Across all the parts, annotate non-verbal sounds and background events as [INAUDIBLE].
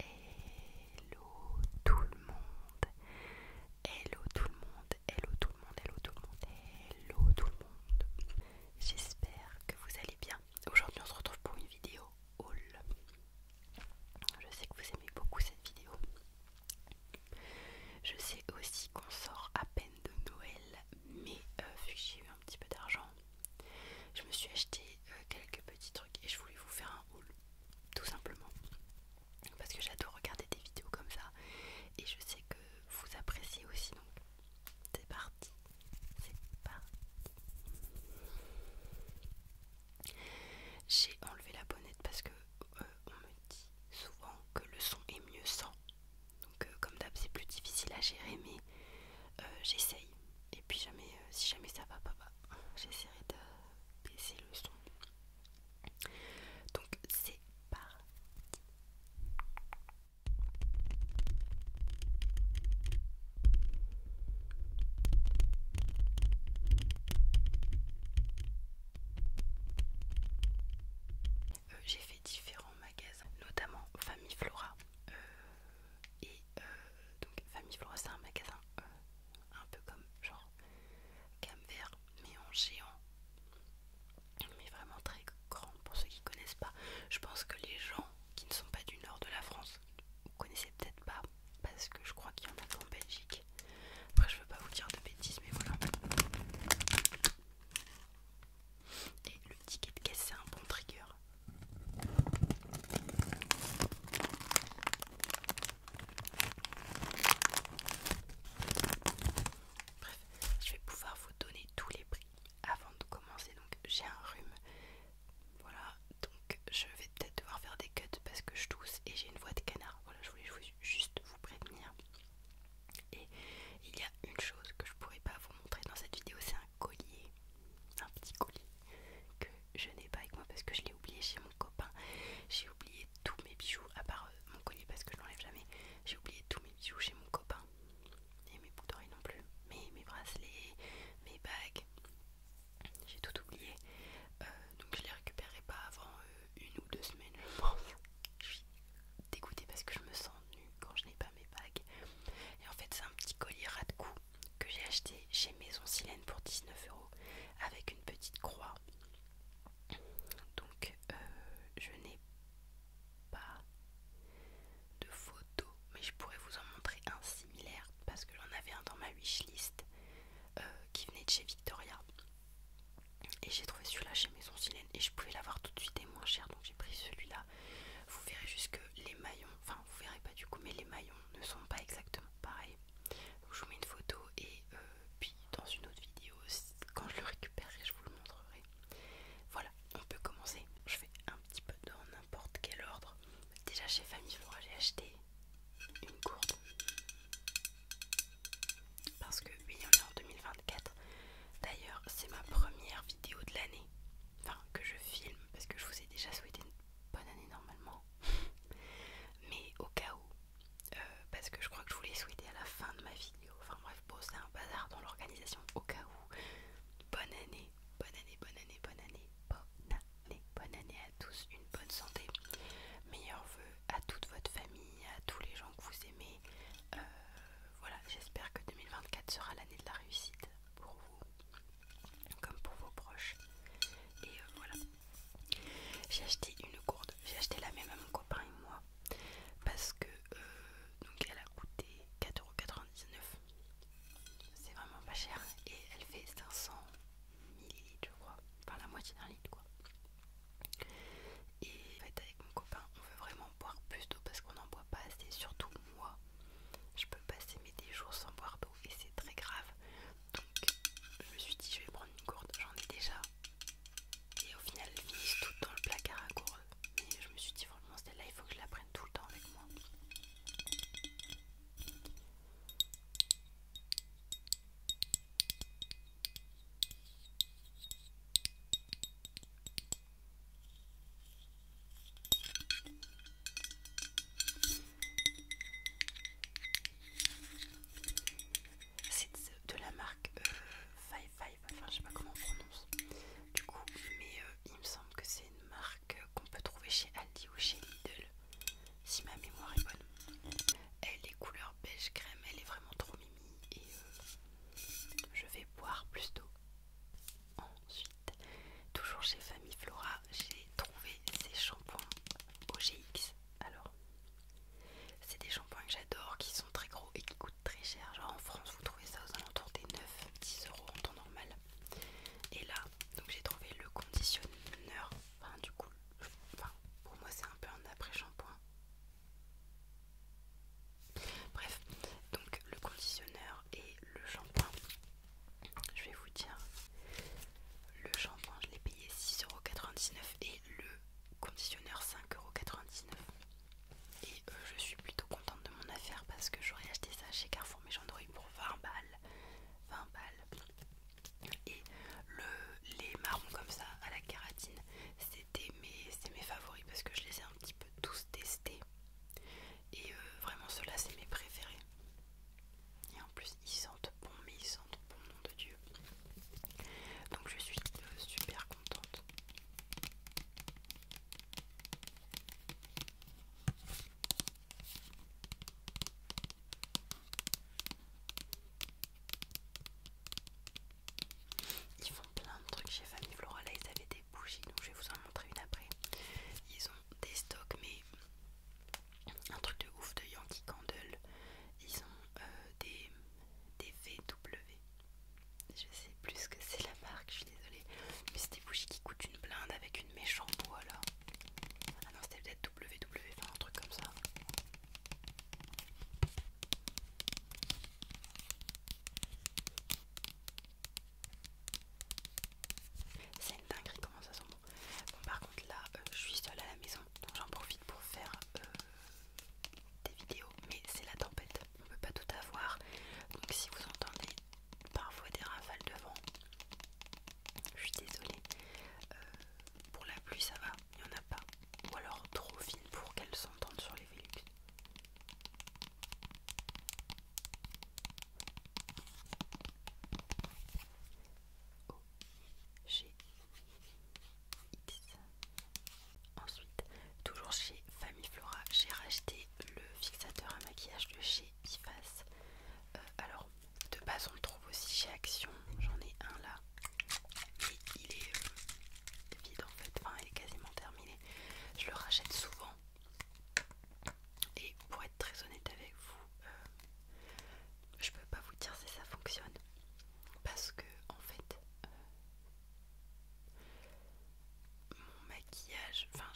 Hello tout le monde, hello tout le monde, hello tout le monde, hello tout le monde, hello tout le monde. J'espère que vous allez bien. Aujourd'hui on se retrouve pour une vidéo haul. Je sais que vous aimez beaucoup cette vidéo. Je sais aussi qu'on sort à peine de Noël, mais euh, vu que j'ai eu un petit peu d'argent, je me suis acheté euh, quelques petits trucs et je voulais vous faire un haul, tout simplement. Parce que j'adore regarder des vidéos comme ça et je sais que vous appréciez aussi donc. C'est parti, c'est parti. J'ai enlevé la bonnette parce que euh, on me dit souvent que le son est mieux sans. Donc euh, comme d'hab c'est plus difficile à gérer mais euh, j'essaye. Et puis jamais, euh, si jamais ça va pas, bah, j'essaierai de baisser le son. Donc c'est parti. Euh, j'ai fait différents magasins, notamment Famille Flora. et euh, donc Famille Flora c'est un magasin euh, un peu comme genre Camvert mais en géant mais vraiment très grand pour ceux qui connaissent pas je pense que les gens qui ne sont pas du nord de la France vous peut-être pas parce que je crois qu'il y en a en Belgique après je veux pas vous dire de bêtises mais voilà et le ticket de caisse c'est un bon trigger Bref, je vais pouvoir vous donner tous les prix avant de commencer. Donc, j'ai un rhume. Voilà, donc je vais peut-être devoir faire des cuts parce que je tousse et j'ai une voix de canard. Voilà, je voulais juste vous prévenir. Et il y a une chose que je pourrais pas vous montrer dans cette vidéo, c'est un collier un petit colis que je n'ai pas avec moi parce que je l'ai oublié chez mon copain. J'ai oublié tous mes bijoux, à part euh, mon collier parce que je l'enlève jamais. J'ai oublié tous mes bijoux chez mon copain. Et mes boucles d'oreilles non plus. mes bracelets, mes bagues. J'ai tout oublié. Euh, donc je les récupérerai pas avant euh, une ou deux semaines, je pense. Je suis dégoûtée parce que je me sens nue quand je n'ai pas mes bagues. Et en fait, c'est un petit collier rat de cou que j'ai acheté chez Maison Silène pour 19 euros avec une petite croix. Donc euh, je n'ai pas de photo, mais je pourrais vous en montrer un similaire parce que j'en avais un dans ma wishlist euh, qui venait de chez Victoria. Et j'ai trouvé celui-là chez Maison Silène et je pouvais l'avoir tout de suite et moins cher donc j'ai pris celui-là. Vous verrez juste que les maillons, enfin vous verrez pas du coup mais les maillons ne sont pas exactement pareils je vous mets une photo et euh, puis dans une autre vidéo quand je le récupérerai je vous le montrerai voilà on peut commencer je fais un petit peu dans n'importe quel ordre déjà chez Famille j'ai acheté une courbe parce que oui on est en 2024 d'ailleurs c'est ma première vidéo de l'année enfin que je filme parce que je vous ai déjà souhaité bonne année normalement. Mais au cas où, euh, parce que je crois que je voulais souhaiter à la fin de ma vidéo, enfin bref, bon, c'est un bazar dans l'organisation, au cas où, bonne année, bonne année, bonne année, bonne année, bonne année, bonne année à tous, une bonne santé, meilleurs vœux à toute votre famille, à tous les gens que vous aimez. Euh, voilà, j'espère que 2024 sera l'année de la réussite pour vous comme pour vos proches. Et euh, voilà. J'ai acheté une gourde, j'ai acheté la même à mon copain et moi parce que euh, donc elle a coûté 4,99€. C'est vraiment pas cher et elle fait 500 ml, je crois, enfin la moitié d'un litre quoi. Et en fait, avec mon copain, on veut vraiment boire plus d'eau parce qu'on n'en boit pas assez, surtout moi je peux passer mes 10 jours sans boire d'eau et c'est très grave. Donc je me suis dit je vais prendre une gourde, j'en ai déjà. Et au final elles finissent tout dans le placard à gourde. Mais je me suis dit vraiment celle-là il faut que je la prenne tout le temps avec moi. C'est de, la marque euh, Five Five, enfin je sais pas comment on prononce du coup, mais euh, il me semble que c'est une marque qu'on peut trouver chez Aldi ou chez Lidl, si ma mémoire est bonne. Elle est couleur beige crème, elle est vraiment trop mimi et euh, je vais boire plus d'eau. Ensuite, toujours chez Famille Flora, j'ai trouvé ces shampoings OGX. Alors, c'est des shampoings que j'adore, qui sont très gros et qui coûtent très cher. Genre en France, vous trouvez ça aux alentours des 9-10 euros en temps normal. Et là, donc j'ai trouvé le conditionneur. Enfin, du coup, pour moi, c'est un peu un après-shampoing. Bref, donc le conditionneur et le shampoing je vais vous dire le shampoing je l'ai payé 6,99€ et le conditionneur 5,99€ et euh, je suis plutôt contente de mon affaire parce que j'aurais acheté ça chez Carrefour mais pour 20 balles 20 balles et le, les marrons comme ça à la kératine c'était mes favoris parce que je les ai un petit peu tous testés et euh, vraiment, ceux-là, c'est mes préférés. Et en plus, ils sentent bon, mais ils sentent bon, nom de Dieu. Donc, je suis euh, super contente. Ils font plein de trucs chez Famille Flora. Là, ils avaient des bougies, donc je vais vous en montrer une après. Ils des stocks, mais un truc de ouf de Yankee Candle. Ils ont euh, des, des VW. Je sais plus ce que c'est la marque, je suis désolée. Mais c'est des bougies qui coûtent une blinde avec une méchante bois là. Ah non, c'était peut-être WW, enfin un truc comme ça. C'est une dinguerie comment ça sent bon. par contre là euh, je suis seule à la maison donc j'en profite pour faire euh, des vidéos mais c'est la tempête on peut pas tout avoir donc si vous entendez parfois des rafales de vent je suis désolée euh, pour la pluie ça va il n'y en a pas ou alors trop fine pour qu'elle s'entende sur les Velux Ensuite, toujours chez Flora, j'ai racheté le fixateur à maquillage de chez Biface. Euh, alors, de base, on le trouve aussi chez Action. J'en ai un là, mais il est euh, vide en fait. Enfin, il est quasiment terminé. Je le rachète souvent et pour être très honnête avec vous, euh, je peux pas vous dire si ça fonctionne parce que en fait, euh, mon maquillage, enfin,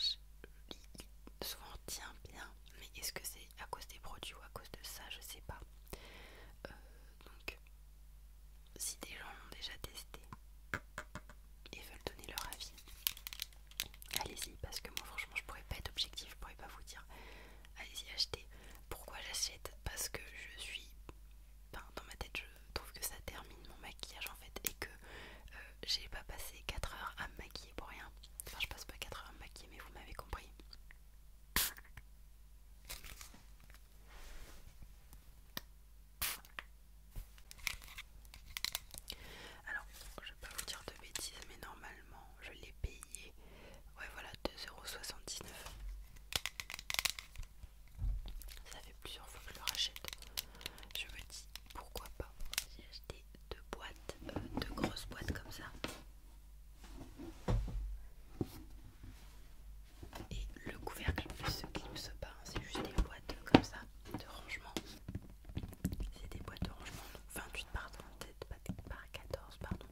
souvent tient bien, mais est-ce que c'est à cause des produits ou à cause de ça, je sais pas. Euh, donc, si des gens l'ont déjà testé, et veulent donner leur avis, allez-y parce que moi franchement je pourrais pas être objective, je pourrais pas vous dire allez-y achetez. Pourquoi j'achète Parce que je suis dans ma tête je trouve que ça termine mon maquillage en fait et que euh, j'ai pas passé 4 heures à me maquiller pour rien. Enfin je passe pas 4 heures à me maquiller mais vous m'avez compris. Alors, je vais pas vous dire de bêtises, mais normalement, je l'ai payé. Ouais, voilà, 2,79€. Ça fait plusieurs fois que je le rachète. Je me dis, pourquoi pas J'ai acheté deux boîtes, euh, deux grosses boîtes comme ça. Et le couvercle ne se clipse pas, c'est juste des boîtes comme ça de rangement. C'est des boîtes de rangement, 28 par par 14, pardon.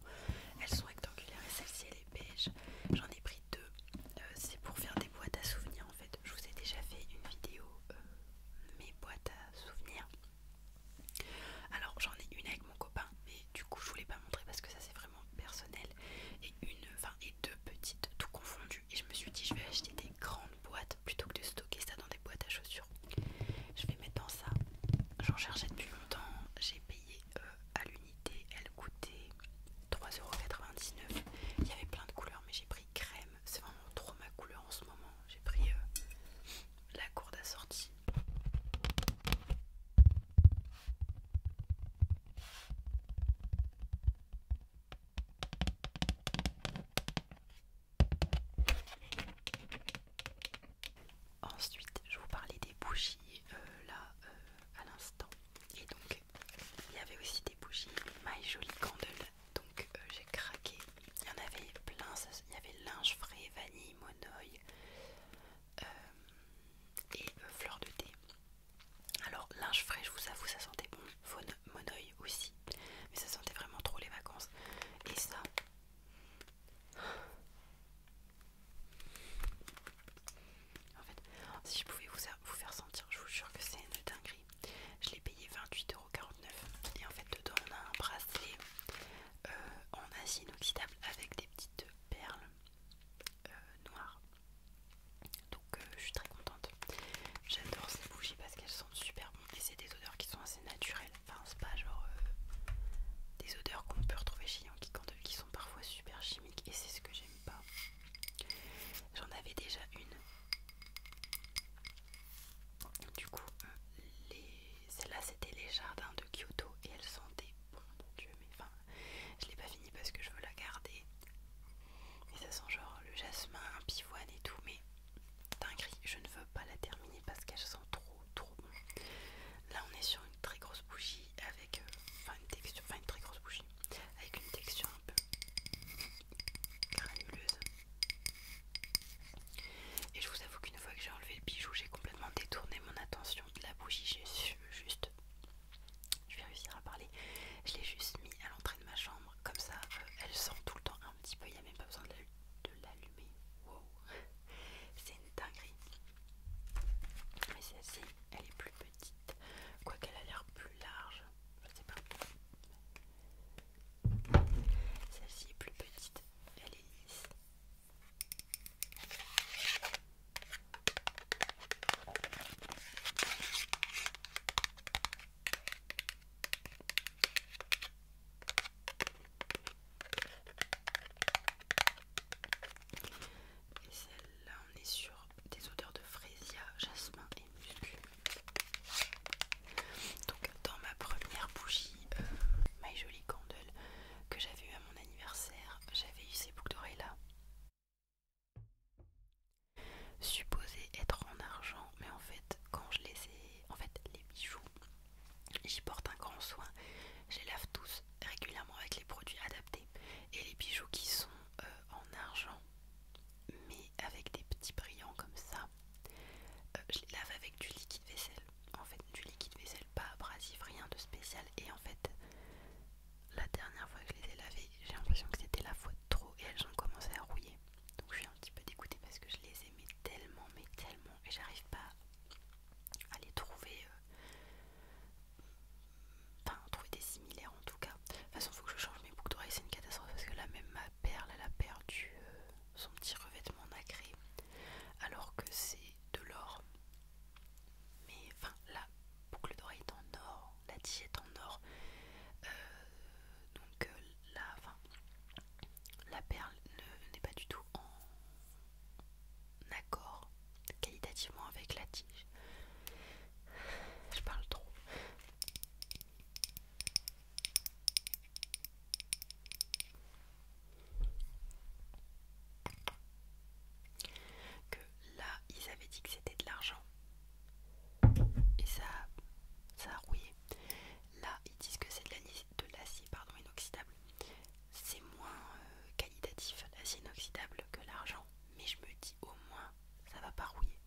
Elles sont rectangulaires et celle-ci elle est beige. J'en ai pris deux. Euh, c'est pour faire des boîtes à souvenirs en fait. Je vous ai déjà fait une vidéo euh, mes boîtes à souvenirs. Alors j'en ai une avec mon copain, mais du coup je voulais pas montrer parce que ça c'est vraiment personnel. Et une, enfin et deux petites, tout confondues. Et je me suis dit je vais acheter des grandes boîte plutôt que de stocker ça dans des boîtes à chaussures. Je vais mettre dans ça. J'en cherchais depuis longtemps. J'ai payé euh, à l'unité. Elle coûtait 3,99€. Il y avait plein de couleurs, mais j'ai pris crème. C'est vraiment trop ma couleur en ce moment. J'ai pris euh, la cour assortie. Ensuite, je vous parlais des bougies euh, là euh, à l'instant. Et donc, il y avait aussi des bougies My Jolie Candle. Donc, euh, j'ai craqué. Il y en avait plein. il y avait linge frais, vanille, monoï et fleur de thé. Alors, linge frais, je vous avoue, ça sentait bon. Monoï, aussi. Mais ça sentait vraiment trop les vacances. Et ça... En fait, si je pouvais vous, vous faire sentir, je vous jure que c'est une dinguerie. Je l'ai payé 28,49€ et en fait dedans on a un bracelet euh, en acier inoxydable avec des petites perles euh, noires. Donc euh, je suis très contente. J'adore ces bougies parce qu'elles sentent super bon et c'est des odeurs qui sont assez naturelles. Enfin, c'est pas genre euh, des odeurs qu'on peut retrouver chez Yankee Candle qui sont parfois super chimiques et c'est ce que j'aime pas. J'en avais déjà une. Du coup, euh, celle-là c'était les jardins de Kyoto et elle sentait bon, mon dieu, mais enfin, je l'ai pas fini parce que je veux la garder. Mais ça sent genre le jasmin, pivoine et tout, mais gris. Je ne veux pas la terminer parce qu'elle sent trop trop bon. Là on est sur une très grosse bougie avec euh, une texture, très grosse bougie avec une texture un peu granuleuse. Et je vous avoue qu'une fois que j'ai enlevé le bijou, j'ai complètement détourné mon attention de la bougie. J'ai juste, je vais réussir à parler. Je l'ai juste mis à l'entrée de ma chambre comme ça. Euh, elle sent tout le temps un petit peu il même pas besoin de l'allumer. Wow, [LAUGHS] c'est une dinguerie. Mais celle-ci, elle est plus petite, quoiqu'elle a l'air plus large. Je sais pas. Celle-ci est plus petite, elle est ici. Et celle-là, on est sur des odeurs de frésia, jasmin et muscu. Donc, dans ma première bougie, ma euh, My Jolie Candle, que j'avais eu à mon anniversaire, j'avais eu ces boucles d'oreilles là supposé être en argent, mais en fait, quand je les ai, en fait, les bijoux, j'y porte un grand soin. Je les lave tous régulièrement avec les produits adaptés. Et les bijoux qui sont euh, en argent, mais avec des petits brillants comme ça, euh, je les lave avec du liquide vaisselle. En fait, du liquide vaisselle, pas abrasif, rien de spécial. Et en fait, la dernière fois que je les ai lavés, j'ai l'impression que c'était la fois de trop et elles ont commencé à rouiller. Donc je suis un petit peu dégoûtée parce que je les aimais tellement, mais tellement, et j'arrive pas à les trouver, euh, enfin trouver des similaires en tout cas. De toute façon, faut que je change mes boucles d'oreilles, c'est une catastrophe parce que là même ma perle, elle a perdu euh, son petit revêtement nacré, alors que c'est de l'or. Mais enfin, la boucle d'oreille est en or, la tige est en or. Euh, donc là, euh, la, la perle n'est pas du tout en accord qualitativement avec la tige. Je parle trop. Que là, ils avaient dit que c'était de l'argent. Et ça, ça a rouillé. Là, ils disent que c'est de l'acier pardon inoxydable. C'est moins euh, qualitatif l'acier inoxydable que l'argent, mais je me dis au moins ça va pas rouiller.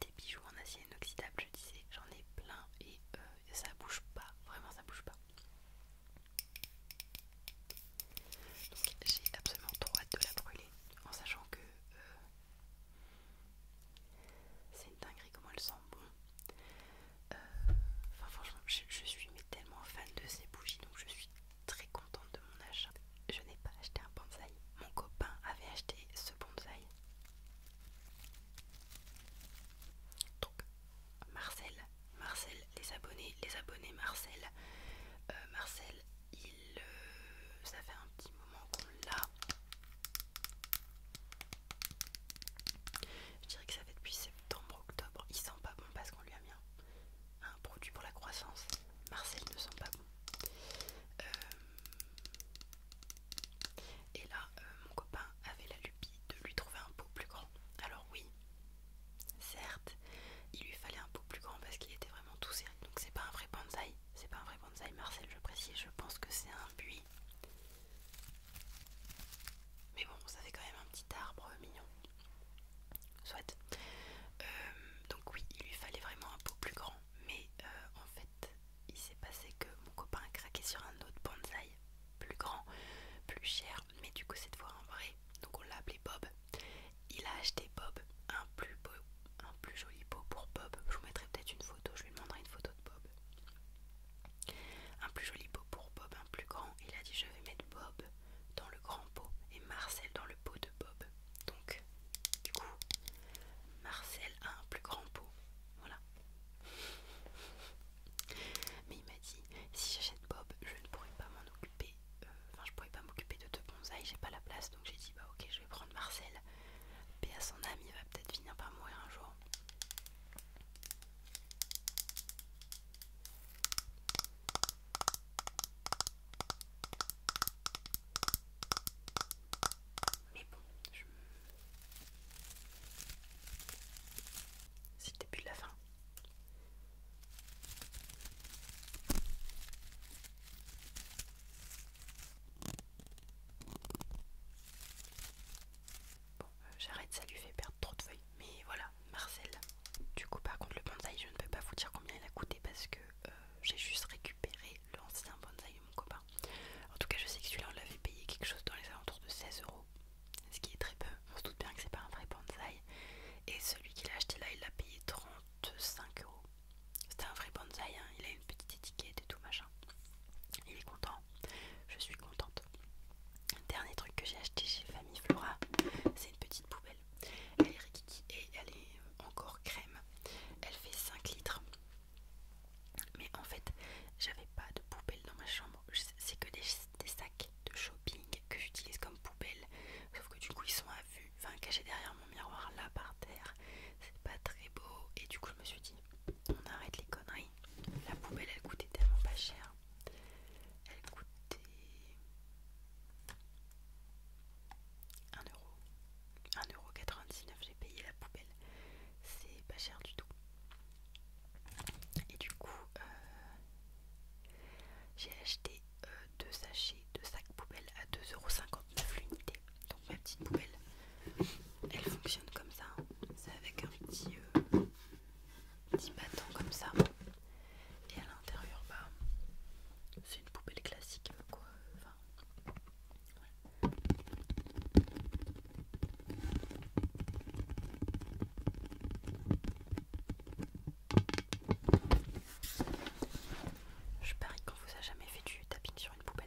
Des bijoux en acier inoxydable, je disais, j'en ai plein et euh, ça bouge pas, vraiment ça bouge pas. j'ai absolument trop hâte de la brûler en sachant que euh, c'est une dinguerie comment elle sent bon. Euh, enfin franchement, je, suis tellement fan de ces bougies, donc je suis très contente de mon achat. Je n'ai pas acheté un bonsaï. Mon copain avait acheté ce bonsaï. Donc Marcel, Marcel, les abonnés, les abonnés Marcel. Euh, Marcel, il, euh, ça fait un petit moment qu'on l'a. Je dirais que ça fait depuis septembre-octobre. Il sent pas bon parce qu'on lui a mis un, produit pour la croissance. Marcel ne sent pas bon. Euh, et là, euh, mon copain avait la lupie de lui trouver un pot plus grand. Alors oui, certes, il lui fallait un pot plus grand parce qu'il était vraiment tout serré. Donc c'est pas un vrai bonsaï, c'est pas un vrai bonsaï Marcel, je précise, je pense que c'est un buis. Mais bon, ça fait quand même un petit arbre mignon. Soit. Euh, donc oui, il lui fallait vraiment un pot plus grand. Mais euh, en fait, il s'est passé que mon copain a craqué sur un autre bonsaï plus grand, plus cher. Mais du coup, de voir un vrai. Donc on l'a appelé Bob. Il a acheté Bob un plus beau un plus joli pot pour Bob. Je vous mettrai peut-être une photo, je lui demanderai une photo de Bob. Un plus joli pot pour Bob, un plus grand. Il a dit je vais mettre Bob dans le grand pot et Marcel dans le pot de Bob. Donc, du coup, Marcel a un plus grand pot. Voilà. Mais il m'a dit, si j'achète Bob, je ne pourrais pas m'en occuper. Euh, enfin, je pourrais pas m'occuper de deux bonsaïs, j'ai pas la place. Donc j'ai dit, bah ok, je vais prendre Marcel. Paix à son âme, il va peut-être finir par mourir un jour. Mais bon, je... c'est le début de la fin. Bon, euh, j'arrête, ça lui fait perdre trop de feuilles. Mais voilà, Marcel. Du coup, par contre, le bonsaï, je ne peux pas vous dire combien il a coûté parce que euh, j'ai juste récupéré l'ancien bonsaï de mon copain. En tout cas, je sais que celui-là, on l'avait payé quelque chose dans les alentours de 16 euros, ce qui est très peu. On se doute bien que c'est pas un vrai bonsaï. Et celui qu'il a acheté là, il l'a payé 35 euros. C'était un vrai bonsaï, hein. il a une petite étiquette et tout machin. Il est content, je suis contente. Dernier truc que j'ai acheté chez Famille Flora, c'est une petite poubelle. Elle est rikiki et elle est encore crème. Elle fait 5 litres. Mais en fait, j'avais pas de poubelle dans ma chambre. C'est que des, sacs de shopping que j'utilise comme poubelle. Sauf que du coup, ils sont à vue, enfin cachés derrière mon miroir là par terre, c'est pas très beau. Et du coup, je me suis dit, on arrête les conneries. La poubelle elle coûtait tellement pas cher. Elle coûtait 1€. 1,99€, j'ai payé la poubelle. C'est pas cher du tout. Et du coup, euh, j'ai acheté euh, deux sachets, de sacs poubelles à 2,59€ l'unité. Donc ma petite poubelle, elle fonctionne comme ça. Hein. C'est avec un petit, euh, petit comme ça. Et à l'intérieur, bah, c'est une poubelle classique. Je parie qu'on vous a jamais fait du tapping poubelle.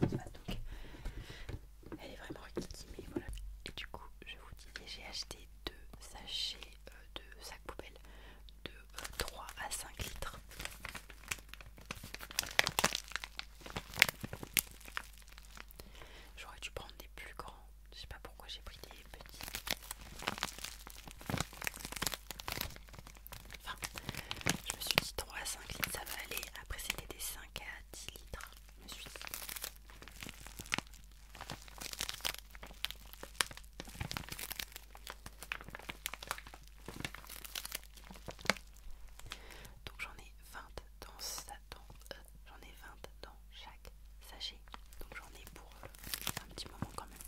donc, elle est vraiment qui voilà. du coup, je vous dis, j'ai acheté deux sachets euh, de sacs poubelles de 3 euh, à 5 litres. J'aurais dû prendre des plus grands. Je sais pas pourquoi j'ai pris des petits. Enfin, je me suis dit 3 à 5 litres ça va aller. Après c'était des 5 à 10 litres. Je me suis dit. Donc j'en ai 20 dans ça euh, j'en ai vingt dans chaque sachet. Donc j'en ai pour euh, un petit moment quand même.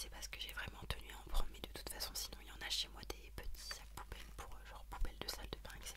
C'est parce que j'ai vraiment tenu à en prendre, mais de toute façon, sinon il y en a chez moi des petits sacs poubelles pour euh, genre poubelles de salle de bain, etc.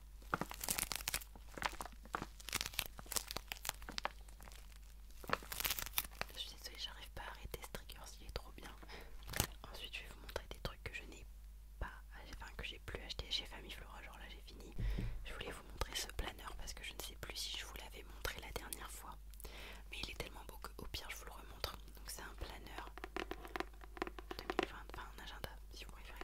Je suis désolée, j'arrive pas à arrêter ce trigger, il est trop bien. Ensuite, je vais vous montrer des trucs que je n'ai pas, enfin que j'ai plus acheté chez Famille Flora. Genre là, j'ai fini. Je voulais vous montrer ce planeur parce que je ne sais plus si je vous l'avais montré la dernière fois, mais il est tellement beau que au pire, je vous le remontre. Donc, c'est un planeur 2020, enfin un agenda si vous préférez.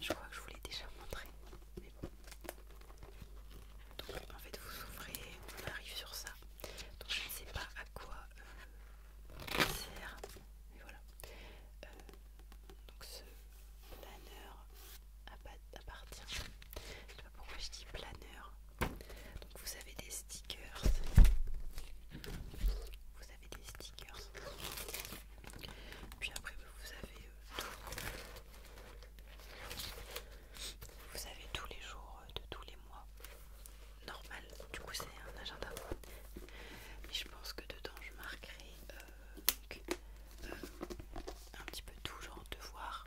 Je crois que je vous l'ai déjà montré, Donc en fait vous ouvrez, on arrive sur ça. Donc je ne sais pas à quoi euh, ça sert, mais voilà. Euh, donc ce planeur appartient. Je ne sais pas pourquoi je dis planeur. Donc vous avez des stickers. Vous avez des stickers. Puis après vous avez euh, Vous avez tous les jours euh, de tous les mois. Normal. Du coup c'est un agenda. Mais je pense que dedans je marquerai euh, un petit peu tout genre de voir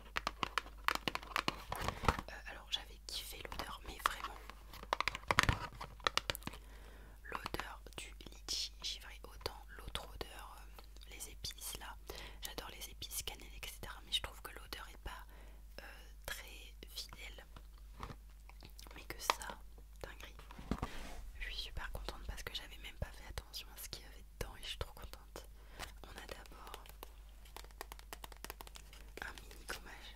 euh, alors j'avais kiffé l'odeur, mais vraiment l'odeur du litchi givré autant l'autre odeur, euh, les épices là. J'adore les épices, cannelle, etc. Mais je trouve que l'odeur est pas euh, très fidèle. Mais que ça, dinguerie. Je suis super contente parce que j'avais même pas fait attention à ce qu'il y avait dedans et je suis trop contente. On a d'abord un mini gommage.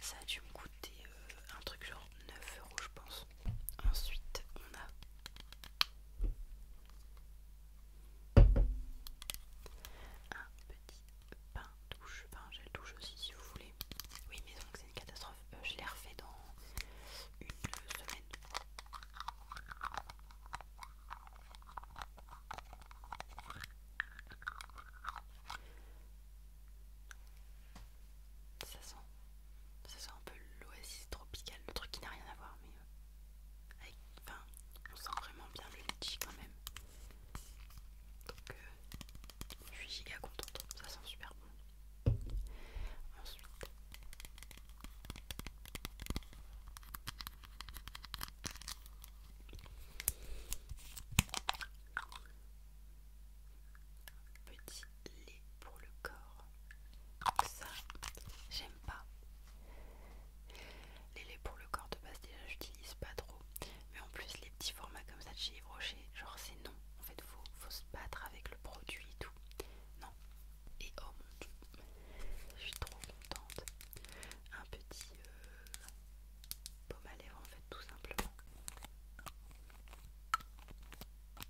Ça a dû me coûter euh, un truc genre 9 euros je pense. Ensuite on a un petit pain douche, pain gel douche aussi si vous voulez. Oui mais donc c'est une catastrophe. Euh, je l'ai refait dans une semaine. Ça sent, ça sent un peu l'oasis tropicale, le truc qui n'a rien à voir, mais euh, on sent vraiment bien le litchi quand même. Donc, euh, je suis giga contente, ça sent super bon. Ensuite, petit lait pour le corps. ça, j'aime pas. Les laits pour le corps de base, déjà, j'utilise pas trop. Mais en plus, les petit format comme ça de chez Rocher, genre c'est non, en fait faut, faut se battre avec le produit et tout. Non. Et oh mon dieu, je suis trop contente. Un petit euh, à lèvres en fait tout simplement. Un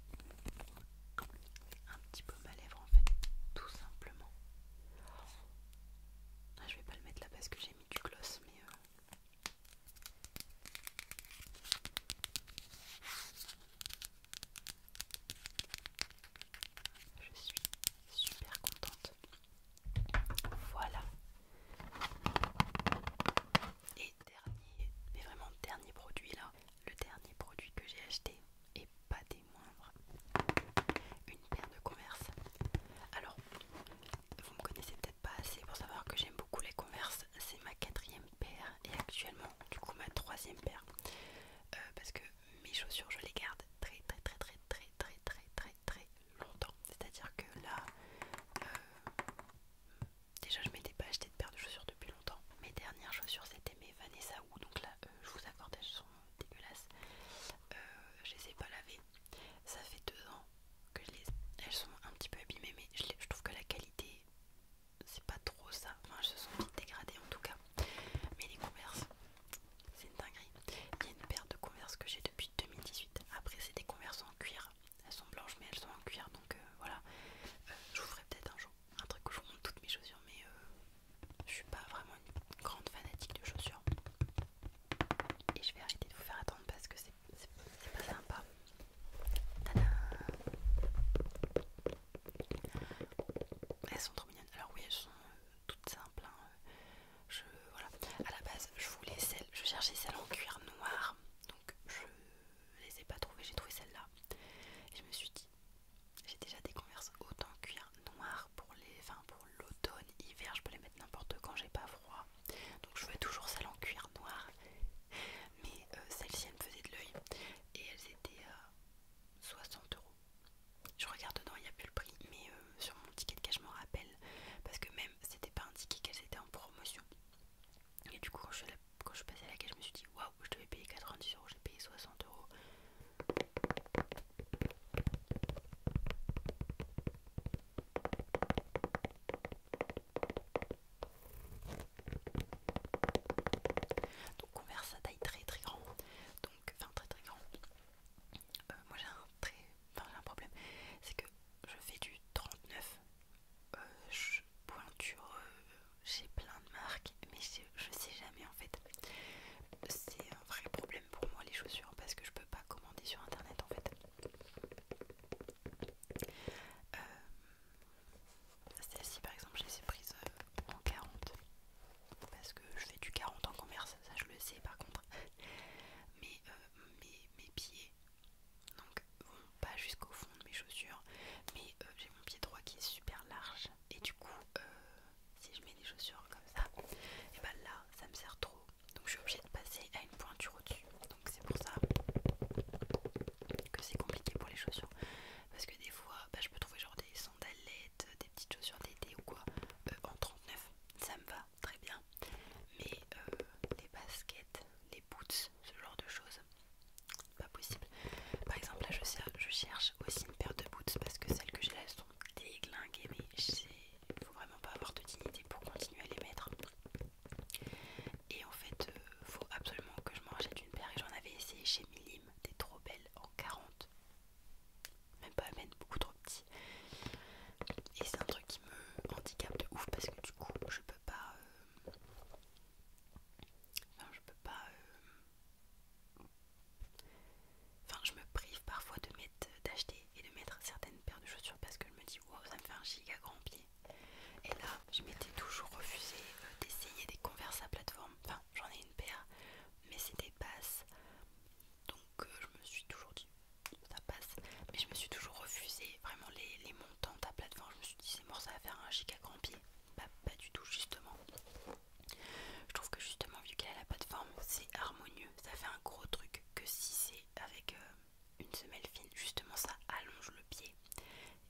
petit baume à lèvres en fait tout simplement. Ah, je vais pas le mettre là parce que j'ai mis du gloss mais euh, je suis super contente. Voilà. Et dernier, mais vraiment dernier produit là, le dernier produit que j'ai acheté et pas des moindres, une paire de Converse. Alors, vous me connaissez peut-être pas assez pour savoir que j'aime beaucoup les Converse, c'est ma quatrième paire et actuellement du coup ma troisième paire euh, parce que mes chaussures je les garde très très très très très très très très très longtemps c'est à dire que là euh, déjà je m'étais pas acheté de paire de chaussures depuis longtemps mes dernières chaussures c'était mes Vanessa ou donc là euh, je vous accorde elles sont dégueulasses je les ai pas lavées ça fait deux ans je les... Elles sont un petit peu abîmées mais je, trouve que la qualité c'est pas trop ça. Enfin elles se sont vite dégradées en tout cas. Mais les converses, c'est une dinguerie. Il y a une paire de Converse que j'ai depuis 2018. Après c'est des converses en cuir. Elles sont blanches mais elles sont en cuir donc euh, voilà. Euh, je vous ferai peut-être un jour un truc où je vous montre toutes mes chaussures mais euh, je suis pas vraiment une grande fanatique de chaussures. Et je vais arrêter de vous faire attendre parce que c'est c'est pas sympa. elles sont trop mignonnes. Alors oui, elles sont euh, toutes simples. Hein. Je, À la base, je voulais celles, je cherchais celles en cuir noir, donc je les ai pas trouvées. J'ai trouvé celle-là. je me suis dit, j'ai déjà des converses autant en cuir noir pour les, enfin pour l'automne, hiver. Je peux les mettre n'importe quand. J'ai pas donc je fais toujours celle en cuir noir. Mais euh, celle-ci elle me faisait de l'œil. Et elles étaient à euh, 60 euros. Je regarde dedans, il n'y a plus le prix. Mais euh, sur mon ticket de cash, je m'en rappelle. Parce que même c'était pas indiqué qu'elles étaient en promotion. Et du coup quand je, suis passée à la caisse, je me suis dit waouh, je devais payer 90 euros, j'ai payé 60 euros. Donc verse à taille très très grande Donc, enfin très très grand. Euh, moi j'ai un très... un problème. C'est que je fais du 39 euh, Je pointure euh, j'ai plein de marques. Mais je, je sais jamais en fait. C'est un vrai problème pour moi les chaussures parce que je peux pas commander sur internet en fait. Euh, celle-ci par exemple, je les ai euh, en 40 parce que je fais du 40 en commerce, ça je le sais par contre. Mais [LAUGHS] mes, pieds, euh, donc vont pas jusqu'au fond de mes chaussures, mais j'ai mon pied droit qui est super large et du coup, si je mets des chaussures comme ça, et ben là ça me sert trop. Donc je suis obligée de passer à une pointure au-dessus. Donc c'est pour ça que c'est compliqué pour les chaussures. Parce que des fois, bah, je peux trouver genre des sandalettes, euh, des petites chaussures d'été ou quoi, euh, en 39. Ça me va très bien. Mais euh, les baskets, les boots, ce genre de choses, pas possible. Par exemple, là, je, cherche aussi une paire de boots parce que celles que j'ai là sont déglinguées, mais il faut vraiment pas avoir de dignité pour continuer à les mettre. Et en fait, euh, faut absolument que je m'en achète une paire. Et j'en avais essayé chez Milim, des trop belles en 40. Même pas à même, beaucoup trop petit. Et c'est un truc qui me handicape de ouf parce que du coup, je peux pas. Euh, enfin, je peux pas. Euh, enfin, je me prive parfois de mettre d'acheter et de mettre certaines paires de chaussures parce que je me dis, wow, ça me fait un giga grand pied. Et là, je m'étais toujours refusé euh, d'essayer des converses à plateforme. Enfin, j'en ai une paire, mais c'était basse. Donc, euh, je me suis toujours dit, ça passe. Mais je me suis toujours refusé vraiment les, les montants à plateforme. Je me suis dit, c'est mort, ça va faire un chic à grand pied. Bah, pas du tout, justement. Je trouve que justement, vu qu'elle a la plateforme, c'est harmonieux. Ça fait un gros truc que si c'est avec. Euh, une semelle fine, justement ça allonge le pied.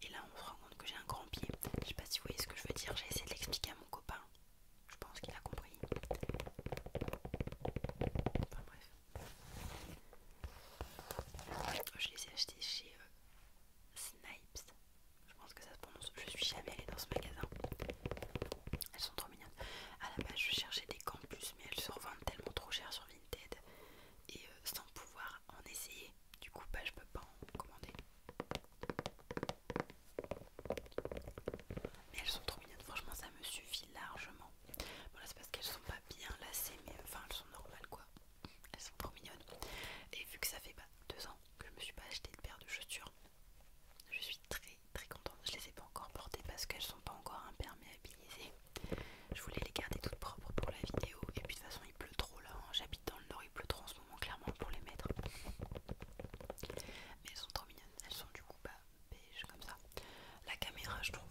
Et là on se rend compte que j'ai un grand pied. Je sais pas si vous voyez ce que je veux dire, j'ai essayé de l'expliquer à mon copain. Je pense qu'il a compris. Enfin bref. Je les ai achetées chez euh, Snipes. Je pense que ça se prononce. Je suis jamais allée dans ce magasin. Elles sont trop mignonnes. À la base je cherchais des campus mais elles se revendent tellement trop chères sur et euh, sans pouvoir en essayer. Du coup, bah, je peux pas en commander. Mais elles sont trop mignonnes, franchement, ça me suffit largement. c'est parce qu'elles sont pas bien lacées, mais enfin, elles sont normales quoi. Elles sont trop mignonnes. Et vu que ça fait pas bah, deux ans que je me suis pas acheté de paire de chaussures, je suis très très contente. Je les ai pas encore portées parce qu'elles sont pas encore imperméabilisées. Je voulais les garder toutes propres pour la vidéo. Et puis de toute façon, il pleut trop là. Hein. J'habite dans le nord, il pleut trop en ce moment, clairement, pour les mettre. Mais elles sont trop mignonnes. Elles sont du coup pas bah, beige comme ça. La caméra, je trouve,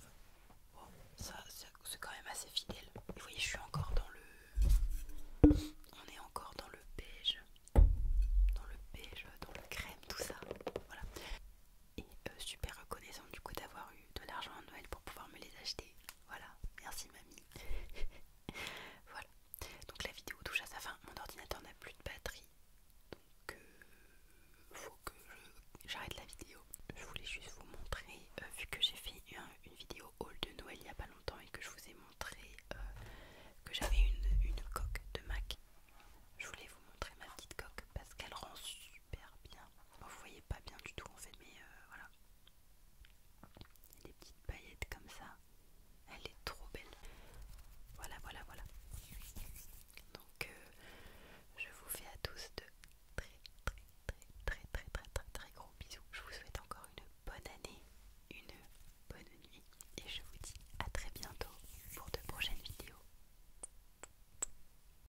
ça, c'est quand même assez fidèle. Vous voyez, je suis encore dans le. On est encore dans le beige. Dans le beige, dans le crème, tout ça. Voilà et euh, super reconnaissant du coup d'avoir eu de l'argent à Noël pour pouvoir me les acheter. Voilà, merci mamie. [LAUGHS] voilà, donc la vidéo touche à sa fin. Mon ordinateur n'a plus de batterie, donc euh, faut que j'arrête la vidéo. Je voulais juste vous montrer, euh, vu que j'ai fait une, vidéo haul de Noël il n'y a pas longtemps et que je vous ai montré que j'avais une, coque de Mac. Je voulais vous montrer ma petite coque parce qu'elle rend super bien. vous voyez pas bien du tout en fait, mais euh, voilà. les petites paillettes comme ça. Elle est trop belle. Voilà, voilà, voilà. Donc euh, je vous fais à tous de très très très très très très très très gros bisous. Je vous souhaite encore une bonne année, une bonne nuit et je vous dis à très bientôt pour de prochaines vidéos.